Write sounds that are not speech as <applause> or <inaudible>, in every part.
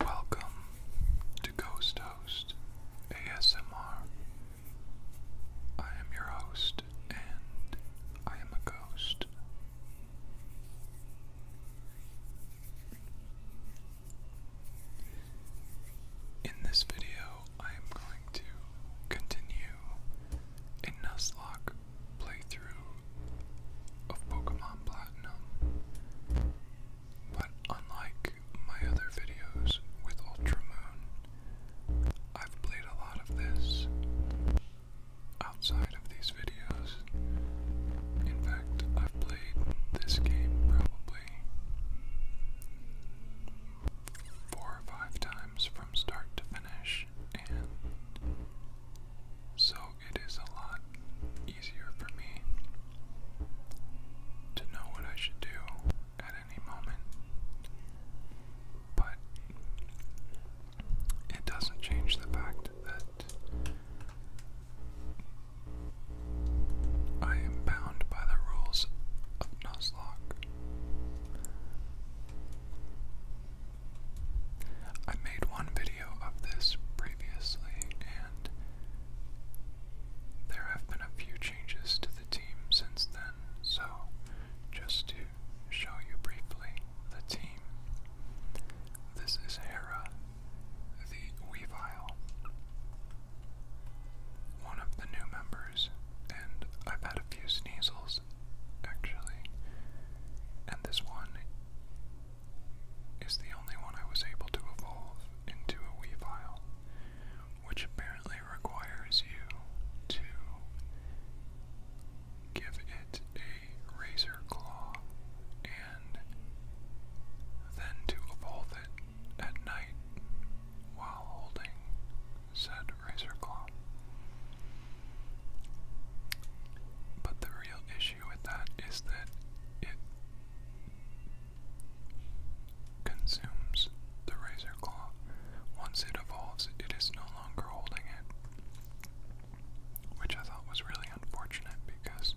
Welcome to Ghost Host ASMR. I am your host, and I am a ghost. In this video, I am going to continue a Nuzlocke playthrough of Pokemon Platinum, but unlike my other videos with Ultra I've played a lot of this outside of these videos. In fact, I've played this game probably four or five times from start to finish, and so it is a lot easier for me to know what I should do at any moment. But it doesn't change the fact that I am bound by the rules of Nuzlocke. I made one video of this previously, and there have been a few changes to the team since then, so just to show you briefly the team. This is Hera, the Weavile. One of the new members and I've had a few sneezels actually, and this one is the only one I was able to evolve into a Weavile, which apparently requires you to give it a razor claw and then to evolve it at night while holding said razor claw. But the real issue with that is that it consumes the razor claw. Once it evolves, it is no longer holding it. Which I thought was really unfortunate because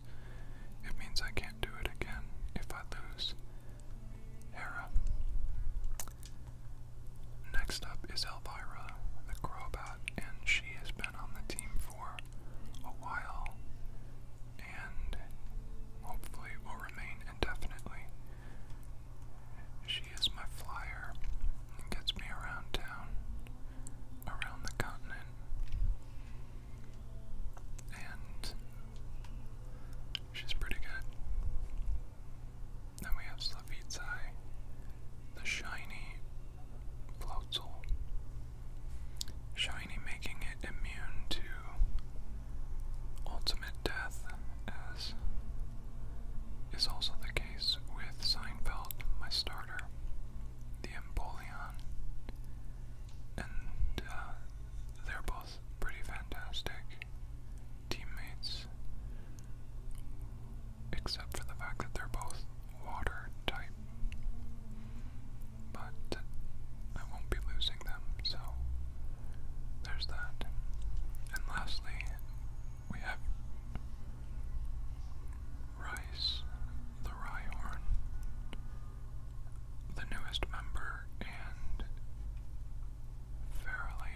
it means I can't do it again if I lose. Next up is Elvira, the Crobat, and she has been on the team for a while and hopefully will remain indefinitely. She is my flyer and gets me around town, around the continent. And she's pretty good. Then we have Slavitai, the shiny Floatzel. Shiny making it immune to ultimate death, as is also the case with Seinfeld, my starter, the Empoleon. And uh, they're both pretty fantastic teammates, except for the fact that they're both water type. But I won't be losing them, so there's that. And lastly, we have Rice, the Rhyhorn, the newest member and fairly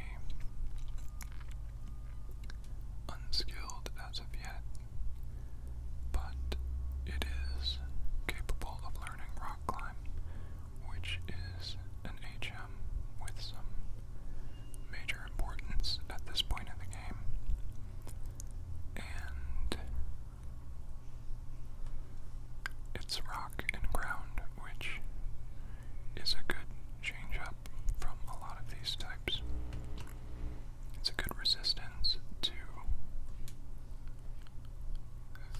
unskilled as of yet, but it is capable of learning rock climb, which is an HM with some major importance at this point in the game. And it's rock and ground which is a good change up from a lot of these types. It's a good resistance to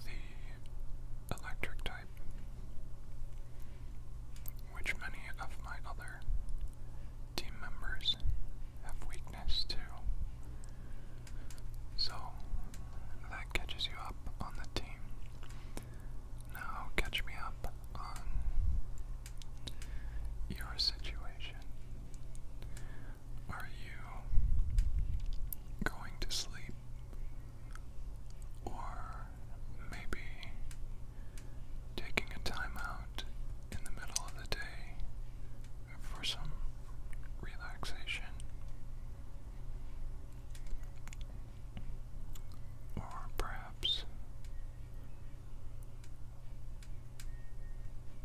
the electric type, which many of my other team members have weakness to. So that catches you up on the team. Now catch me up on your situation. Are you going to sleep? Or maybe taking a time out in the middle of the day for some relaxation? Or perhaps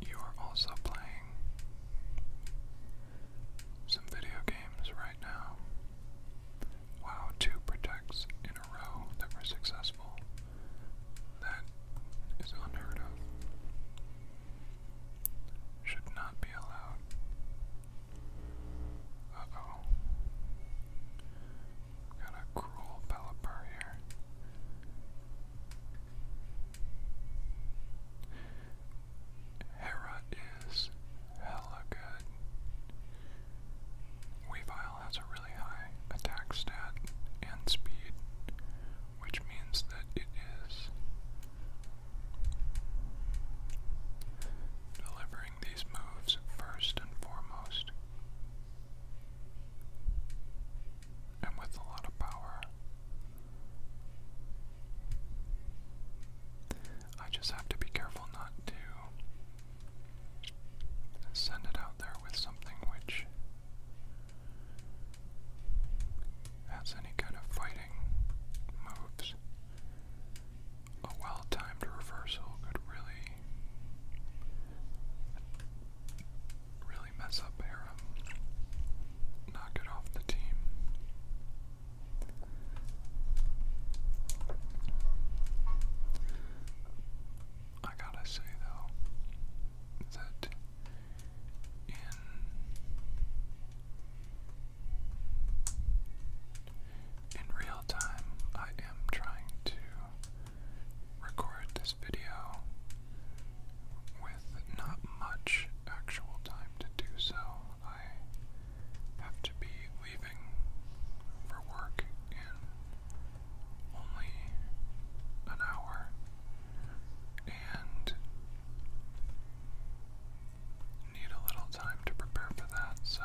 you are also playing some video games right now. Wow, two protects in a row that were successful. That is unheard of. Should not be allowed. Uh oh. Got a cruel Pelipper here. Hera is hella good. has a really high attack stat and speed, which means that it is. Deliver these moves first and foremost. And with a lot of power, I just have to be careful not to send it out there with something which has any kind of fighting moves a well timed reversal could really, really mess up Aram, knock it off the team. I gotta say though that in in real time, I am trying to record this video with not much actual time to do so. I have to be leaving for work in only an hour, and need a little time to prepare for that, so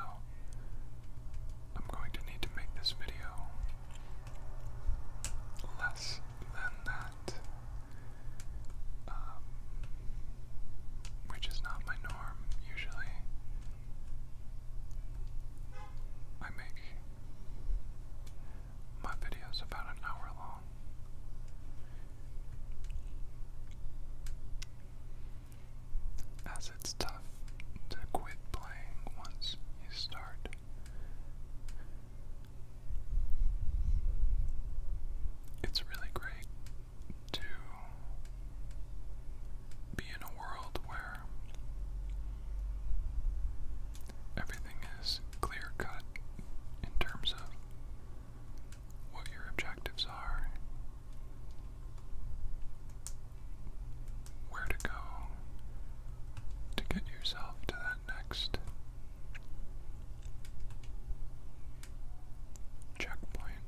I'm going to need to make this video less than that, um, which is not my norm usually. I make my videos about an hour long as it's tough to quit playing once you start. It's really great to be in a world where everything is clear cut in terms of what your objectives are, where to go to get yourself to that next checkpoint.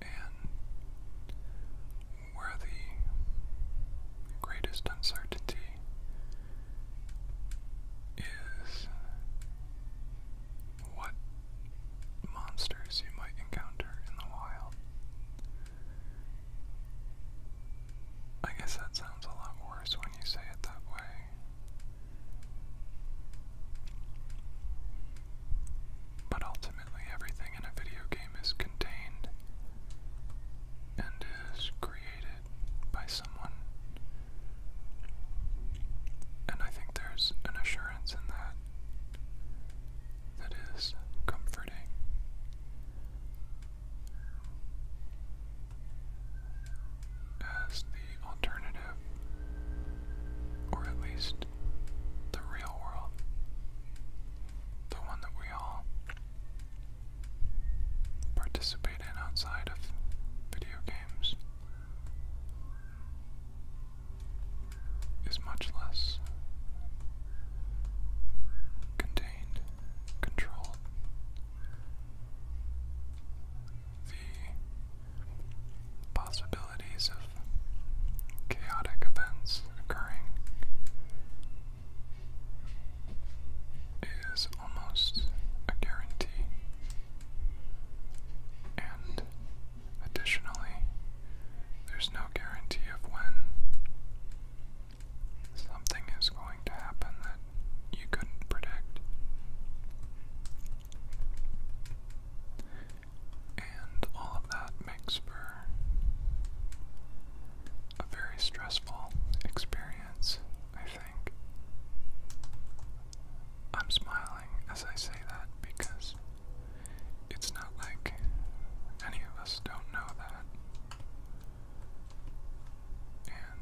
And where the greatest uncertainty is what monsters you might encounter in the wild. I guess that sounds a lot worse when you say it that way. But ultimately, everything in a video game is contained and is created by someone. And I think there's an assurance in that that is comforting. As the alternative, or at least the real world, the one that we all participate in outside of video games is much less contained, controlled. The possibilities of chaotic events occurring is almost a guarantee. And additionally, there's no guarantee of when something is going to happen that you couldn't predict. And all of that makes for a very stressful experience. I think. I'm smiling as I say that because it's not like any of us don't know that. And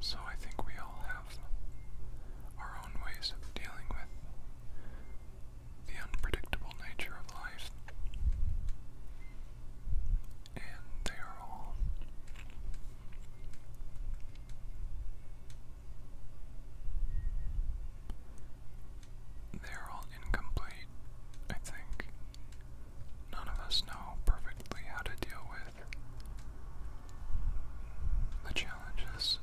so I think we all have our own ways of dealing with the unpredictable nature of life and they are all they're all incomplete, I think. None of us know perfectly how to deal with the challenges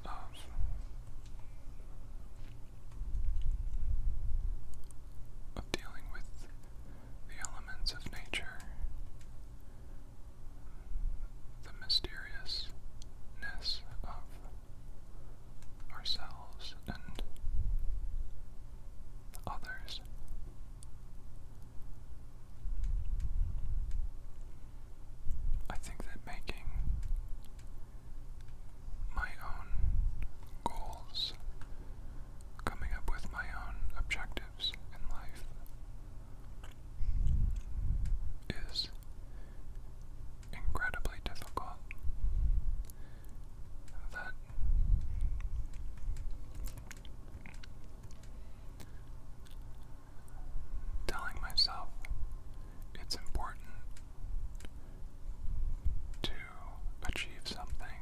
of dealing with the elements of nature, the mysteriousness of ourselves and others. I think that making my own goals coming up with my own objectives in life is incredibly difficult. That telling myself it's important to achieve something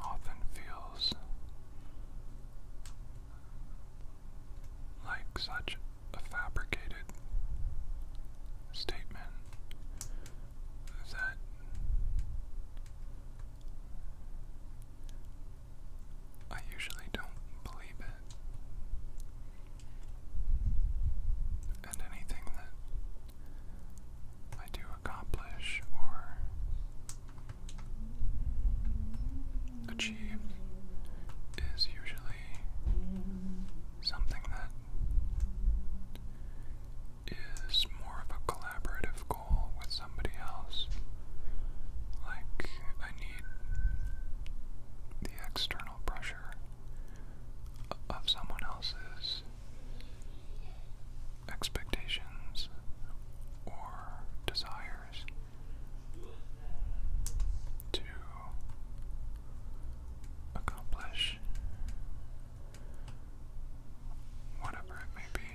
often feels like such a fabricated statement that I usually don't believe it. And anything that I do accomplish or achieve is usually something that is more of a collaborative goal with somebody else. Like, I need the external pressure of someone else's expectations or desires to accomplish whatever it may be.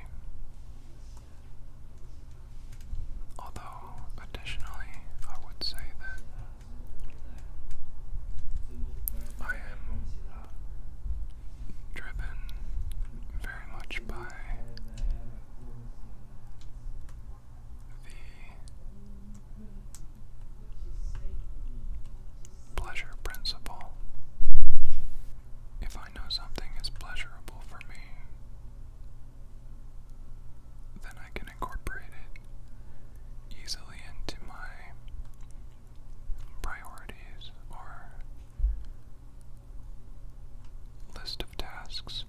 Although, additionally, I would say that I am driven very much by the pleasure principle. If I know something is pleasurable for me, then I can incorporate it easily into my priorities or list of tasks.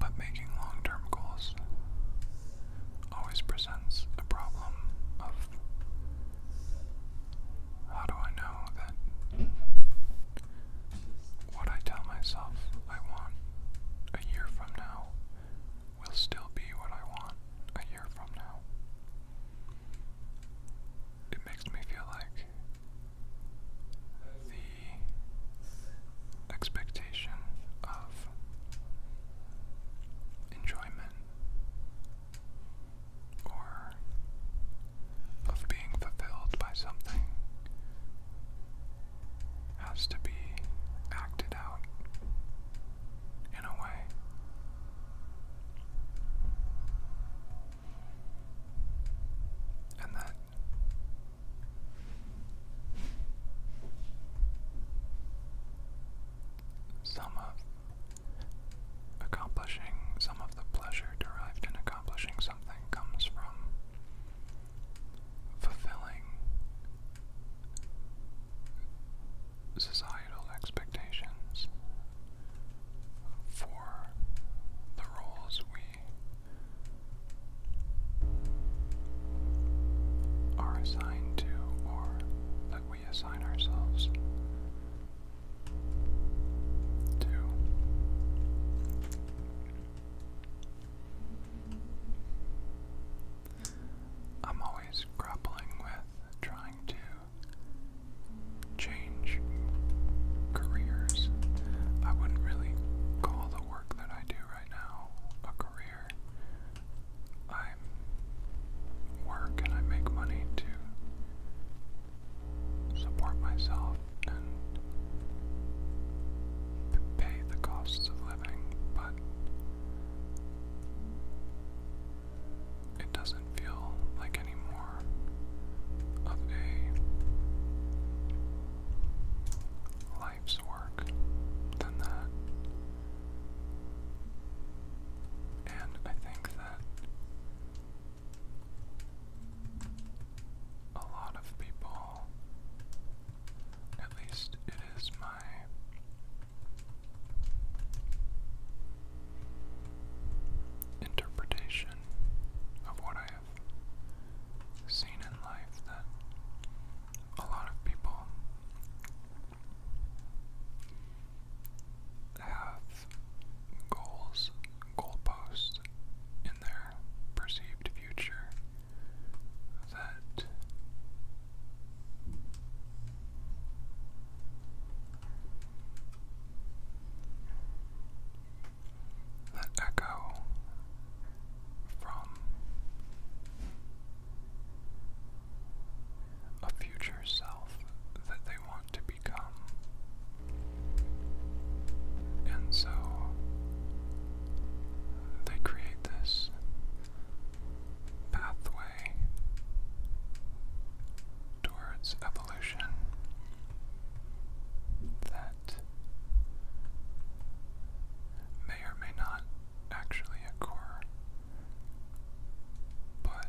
But making long term goals always presents a problem of how do I know that what I tell myself I want a year from now will still be what I want a year from now? It makes me feel like the expectation of enjoyment or of being fulfilled by something has to be acted out in a way. And that some of Accomplishing some of the pleasure derived in accomplishing something comes from fulfilling societal expectations for the roles we are assigned to or that we assign ourselves. Two. I'm always grappling with trying to change careers. I wouldn't really call the work that I do right now a career. I work and I make money to support myself and pay the costs of living, but it doesn't feel like any more of a life's work than that. And I think that a lot of people, at least it is my interpretation of what I have seen in life, that a lot of people have goals, goalposts in their perceived future that that echo from a future self that they want to become. And so they create this pathway towards evolution that may or may not actually occur but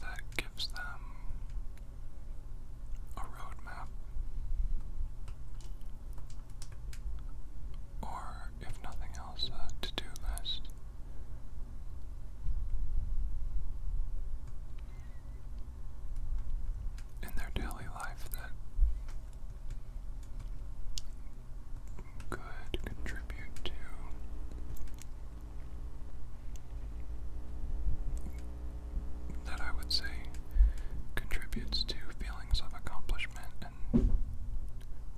that gives them a roadmap, or if nothing else, a to do list. In their daily life, that could contribute to that I would say contributes to feelings of accomplishment and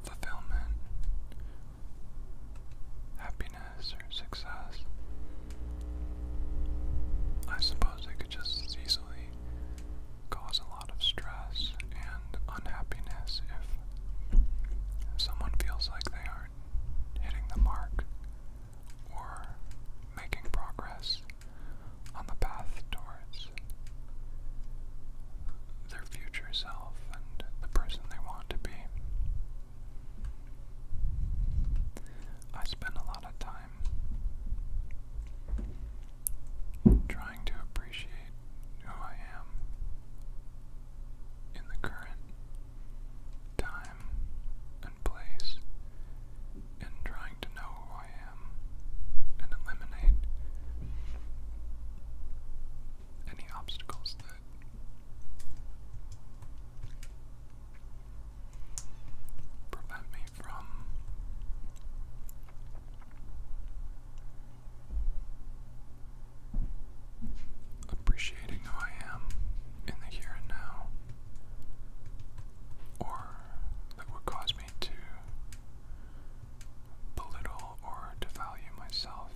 fulfillment, happiness, or success. I suppose it could just as easily cause a lot of stress and unhappiness if someone feels like they aren't hitting the mark or making progress on the path towards their future self and the person they want to be. I spend a lot of time trying to appreciate who I am in the current time and place and trying to know who I am and eliminate any obstacles that prevent me from appreciating who I am in the here and now, or that would cause me to belittle or devalue myself.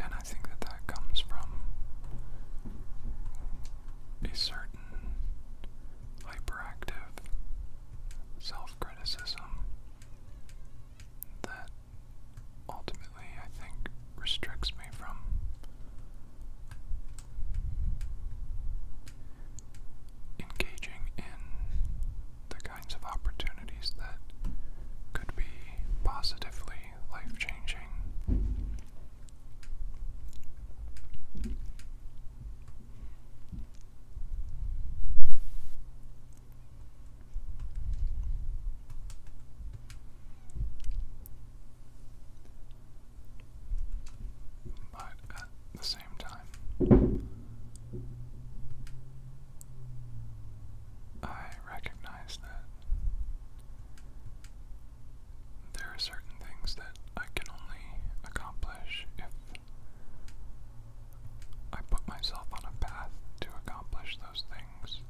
And I think that that comes from a certain hyperactive self criticism that ultimately I think restricts me from engaging in the kinds of opportunities that could be positively life changing but at the same time, I recognize that there are certain things that I can only accomplish if I put myself on a path to accomplish those things.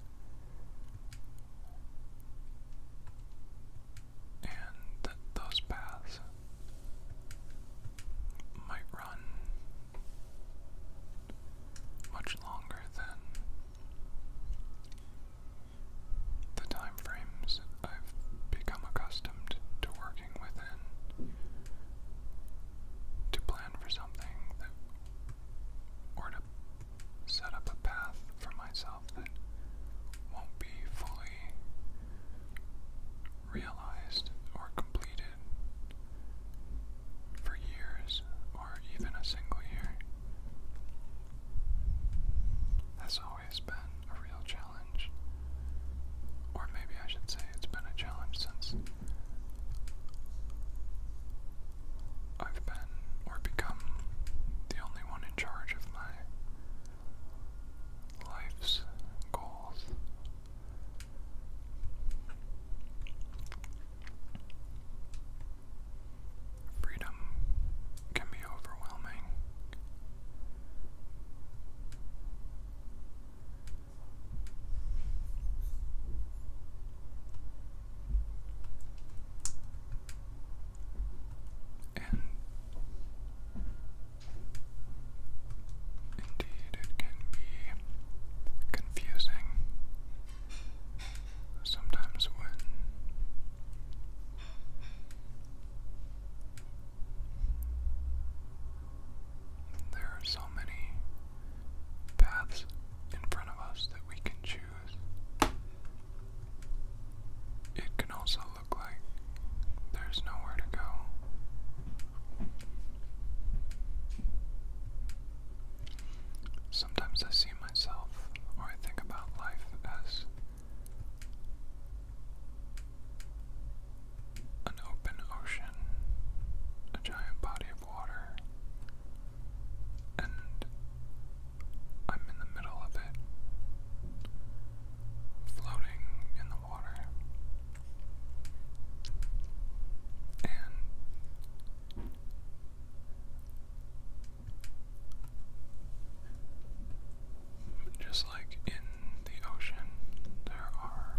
And that those paths might run much longer than the time I've become accustomed to working within to plan for something or to set up a path for myself that won't be fully realized or completed for years or even a single year has always been a real challenge. Or maybe I should say it's been a challenge since I've been or become the only one in charge of my life's goals. Freedom can be overwhelming. And indeed, it can be confusing sometimes when there are so many paths in front of us that we can choose. It can also look like there's nowhere to go. Sometimes I see myself or I think about life as an open ocean, a giant body of water, and I'm in the middle of it, floating in the water. And just like in the ocean, there are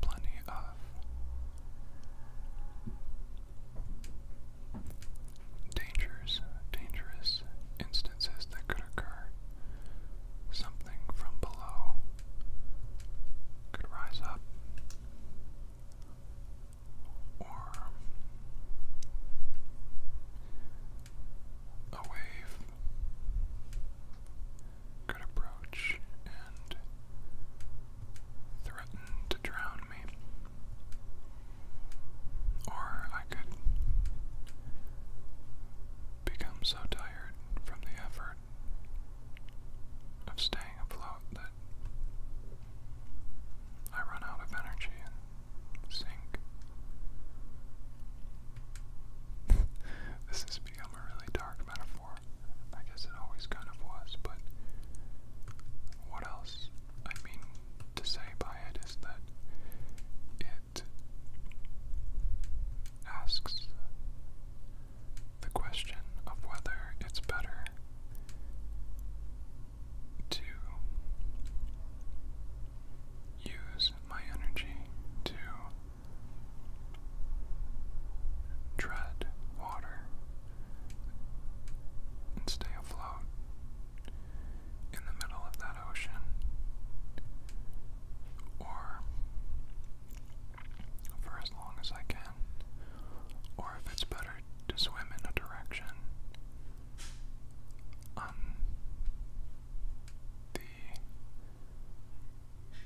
plenty of dangers, dangerous instances that could occur. Something from below could rise up or a wave could approach and threaten to drown me. Or I could become so tired from the effort of staying afloat out that I run out of energy and sink. <laughs> this has become a really dark metaphor. I guess it always kind of was, but what else I mean to say by it is that it asks the question of whether it's better to use my energy to tread water and stay afloat in the middle of that ocean or for as long as I can, or if it's better to swim in a direction the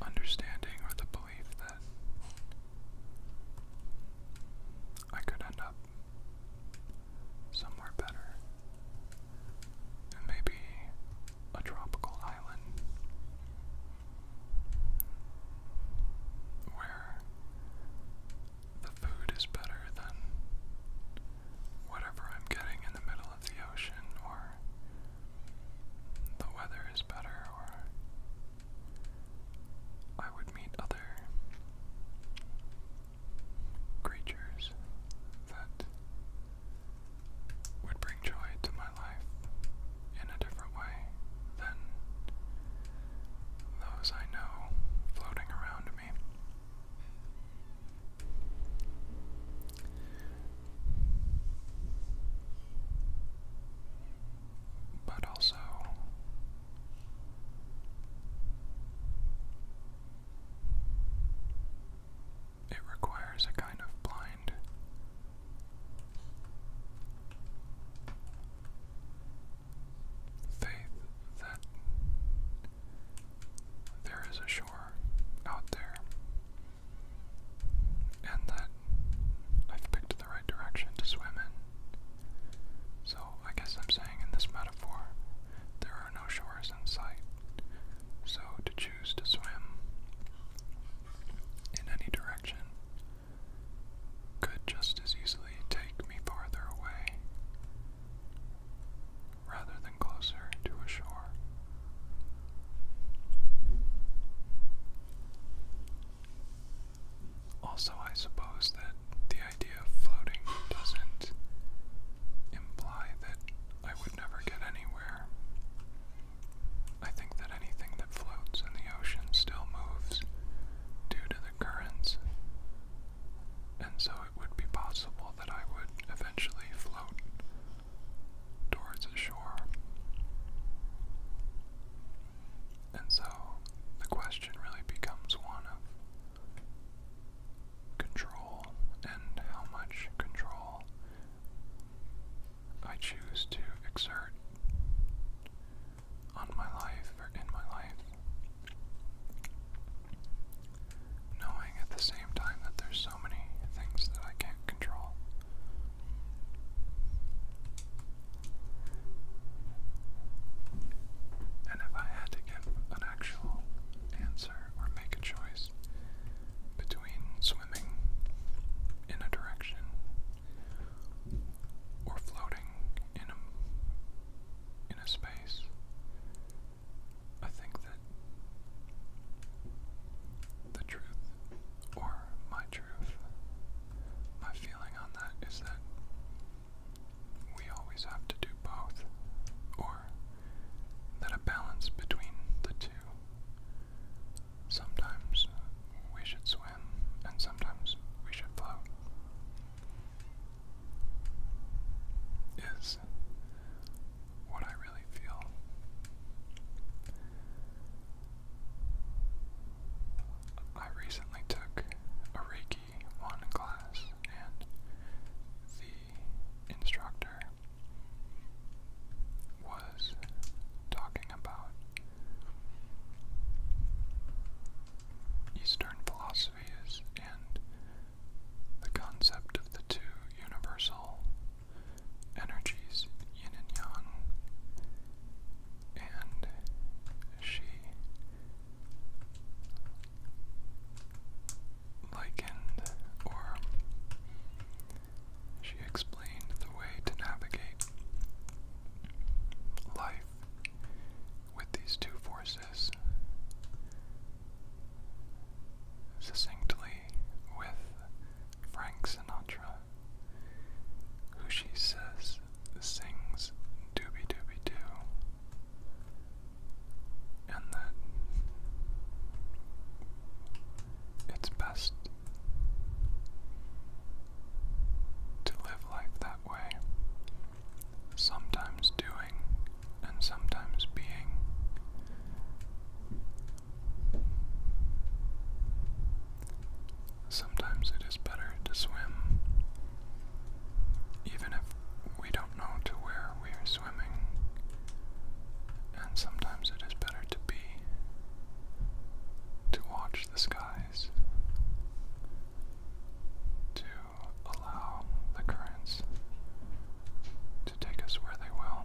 understanding or the belief that I could end up somewhere better. And maybe a tropical island where the food is better than whatever I'm getting in the middle of the ocean, or the weather is better, or I would meet other creatures that would bring joy to my life in a different than those I know floating around me. But also, it requires a kind of blind faith that there is a shore out there and that I've picked the right direction to swim in. So I guess I'm saying in this metaphor, there are no shores in sight. So to choose to swim in any direction could just as easily take me farther away rather than closer to a shore. Also, I suppose that the idea of floating doesn't imply that I would never get anywhere. I think that anything that floats in the ocean still moves due to the currents, and so it would be possible that I would eventually float towards a shore. And so the question really becomes one of control and how much control I choose to exert on my life or in my life. Knowing at the same time that there's so many things that I can't control. And if I had to give an actual answer or make a choice between swimming in a direction or floating in a, in a space, I think that the truth, or my truth, my feeling on that is that we always have to do both, or that a balance between the two Sometimes we should swim, and sometimes we should float. Is what I really feel. I recently took a Reiki 1 class, and the instructor was talking about Eastern philosophies and the concept of the two universal energies, yin and yang, and she likened or she explained the way to navigate life with these two forces succinctly with Frank Sinatra, who she says sings "Dooby Dooby Doo, and that it's best to live life that way. Sometimes doing and sometimes being. Sometimes it is better to swim, even if we don't know to where we are swimming, and sometimes it is better to be, to watch the skies to allow the currents to take us where they will.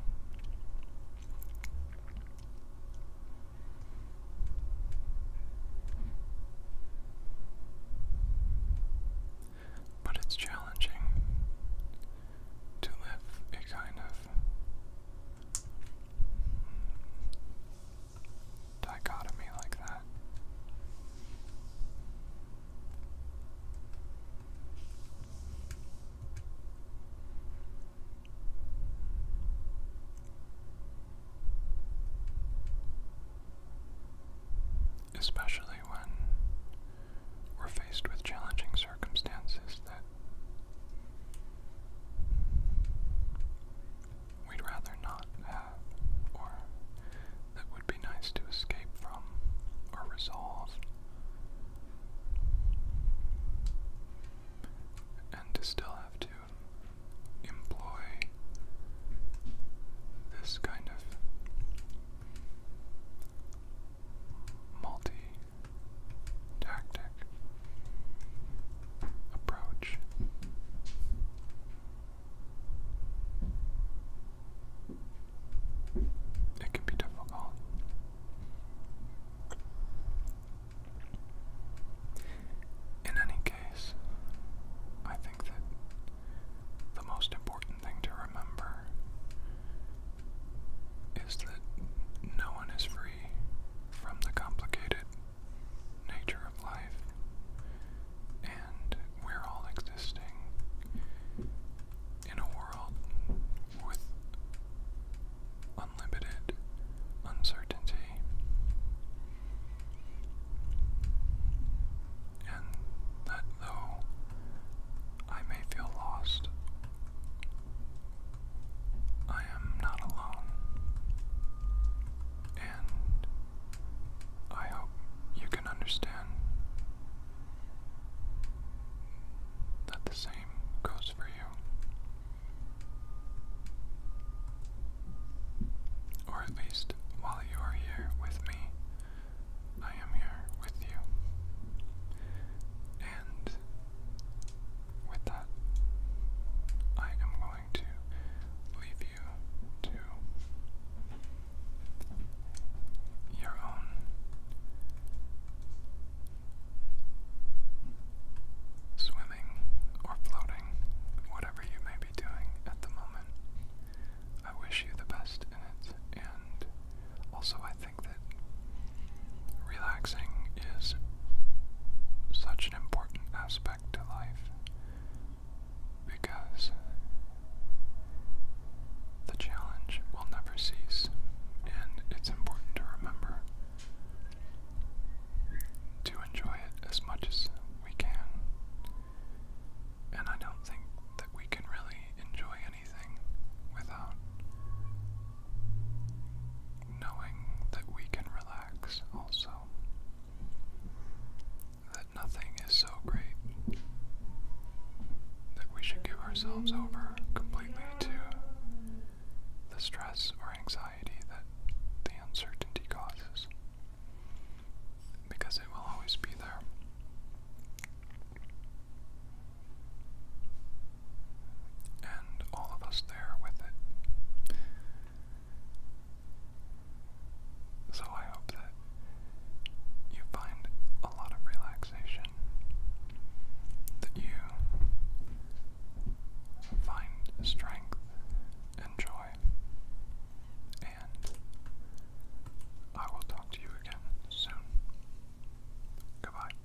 But it's challenging to live a kind of dichotomy like that. Especially when we're faced with challenging circumstances that we'd rather not have, or that would be nice to escape from or resolve. And to still have to employ this kind of multi tactic, approach. It can be difficult. In any case, I think that the most important thing to remember is that no one is free from the complicated nature of life, and we're all existing in a world with unlimited uncertainty. And that though I may feel lost I am not alone. And I hope you can understand that the same goes for you. Or at least while you are here with me, I am here with you. And with that, I am going to leave you to your own swimming or floating, whatever you may be doing at the moment. I wish you the best in it, and also I think that Relaxing is such an important aspect to life because the challenge will never cease, and it's important to remember to enjoy it as much as we can. And I don't think that we can really enjoy anything without knowing that we can relax also, that nothing is so great that we should give ourselves over completely to the stress or anxiety that the uncertainty causes, because it will always be there and all of us there with it. So I hope that you find a lot of relaxation, that you find strength and joy, and I will talk to you again soon. Goodbye.